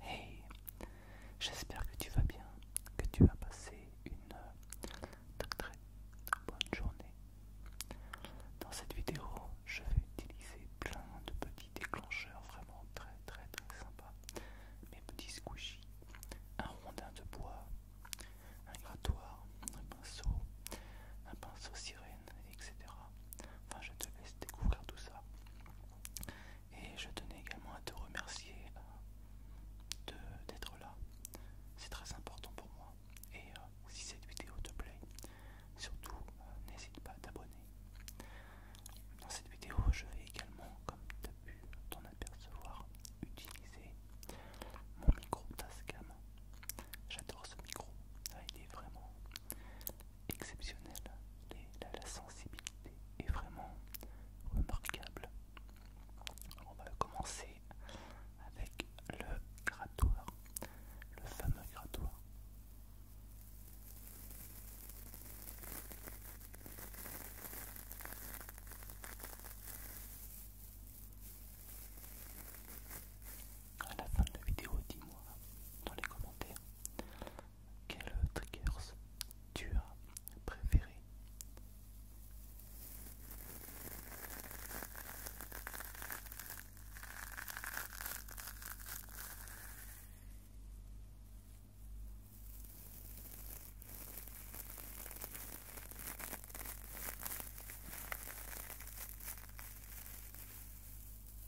Hey, j'espère que tu vas bien, que tu as passé une euh, très très bonne journée. Dans cette vidéo, je vais utiliser plein de petits déclencheurs vraiment très très très sympas. Mes petits squishies, un rondin de bois, un grattoir, un pinceau, un pinceau sirène, etc. Enfin, je te laisse découvrir tout ça. Et je tenais également à te remercier euh, d'être là. C'est très important pour moi. Et euh, si cette vidéo te plaît, surtout euh, n'hésite pas à t'abonner. Dans cette vidéo, je vais également, comme tu as pu t'en apercevoir, utiliser mon micro Tascam. J'adore ce micro. Ah, il est vraiment exceptionnelle. la, la sensibilité est vraiment remarquable. On va commencer avec le grattoir, le fameux grattoir. À la fin de la vidéo, dis-moi dans les commentaires quels triggers tu as préféré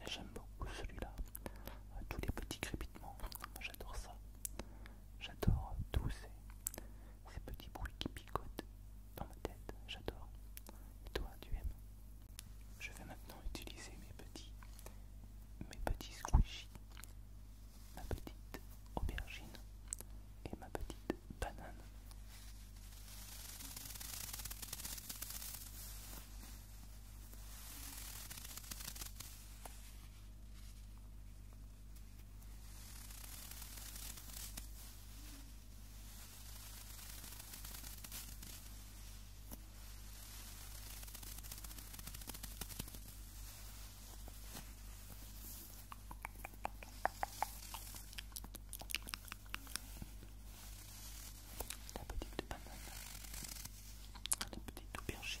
Ah, j'aime beaucoup celui-là, euh, tous les petits crépitements, j'adore ça. J'adore tous ces, ces petits bruits qui picotent dans ma tête, j'adore. Et toi, tu aimes Je vais maintenant utiliser mes petits, mes petits squishies ma petite aubergine et ma petite banane. La petite banane, la petite aubergine.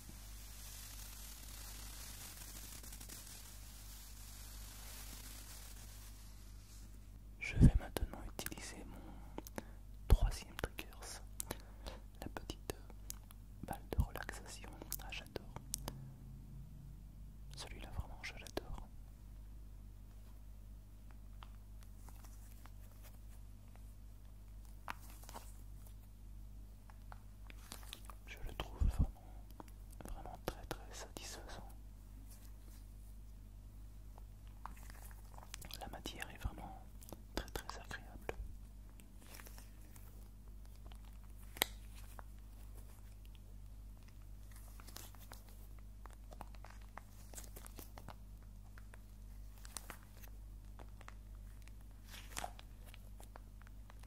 Je vais maintenant utiliser mon troisième triggers, la petite balle de relaxation. Ah, j'adore. Celui-là, vraiment, je je le trouve vraiment, très très satisfaisant. La matière est vraiment très très agréable.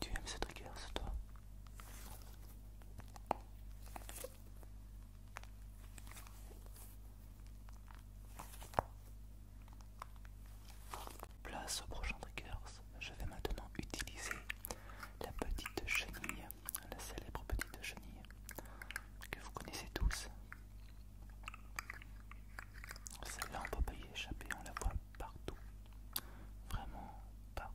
Tu aimes ce trigger, toi Place au prochain triggers, je vais maintenant utiliser la petite chenille, la célèbre petite chenille que vous connaissez tous. Celle-là on peut pas y échapper, on la voit partout. Vraiment partout.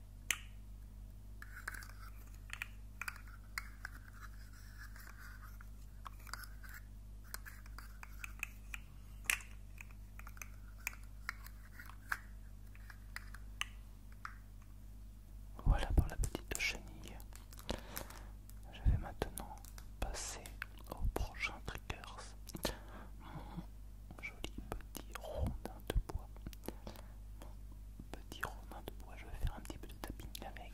Voilà pour la petite chenille. Je vais maintenant passer au prochain trickers. Mon joli petit rondin de bois. Mon petit Romain de bois, je vais faire un petit peu de tapping avec.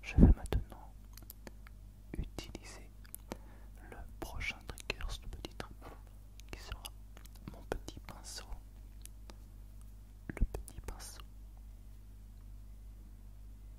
Je vais maintenant utiliser le prochain trigger, ce petit truc qui sera mon petit pinceau. Le petit pinceau.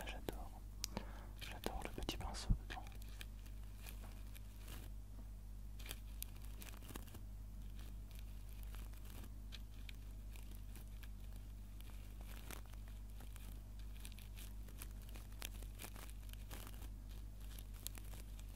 Ah, j'adore. J'adore le petit pinceau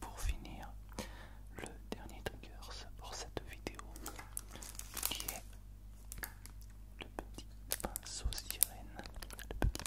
Pour finir, le dernier trigger pour cette vidéo qui est le petit pinceau Le petit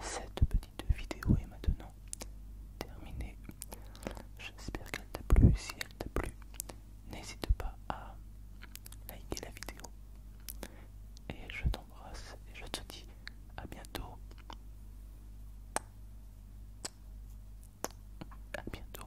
Cette petite vidéo est maintenant terminée. J'espère qu'elle t'a plu. Si elle t'a plu, n'hésite pas à liker la vidéo. Et je t'embrasse et je te dis à bientôt. À bientôt.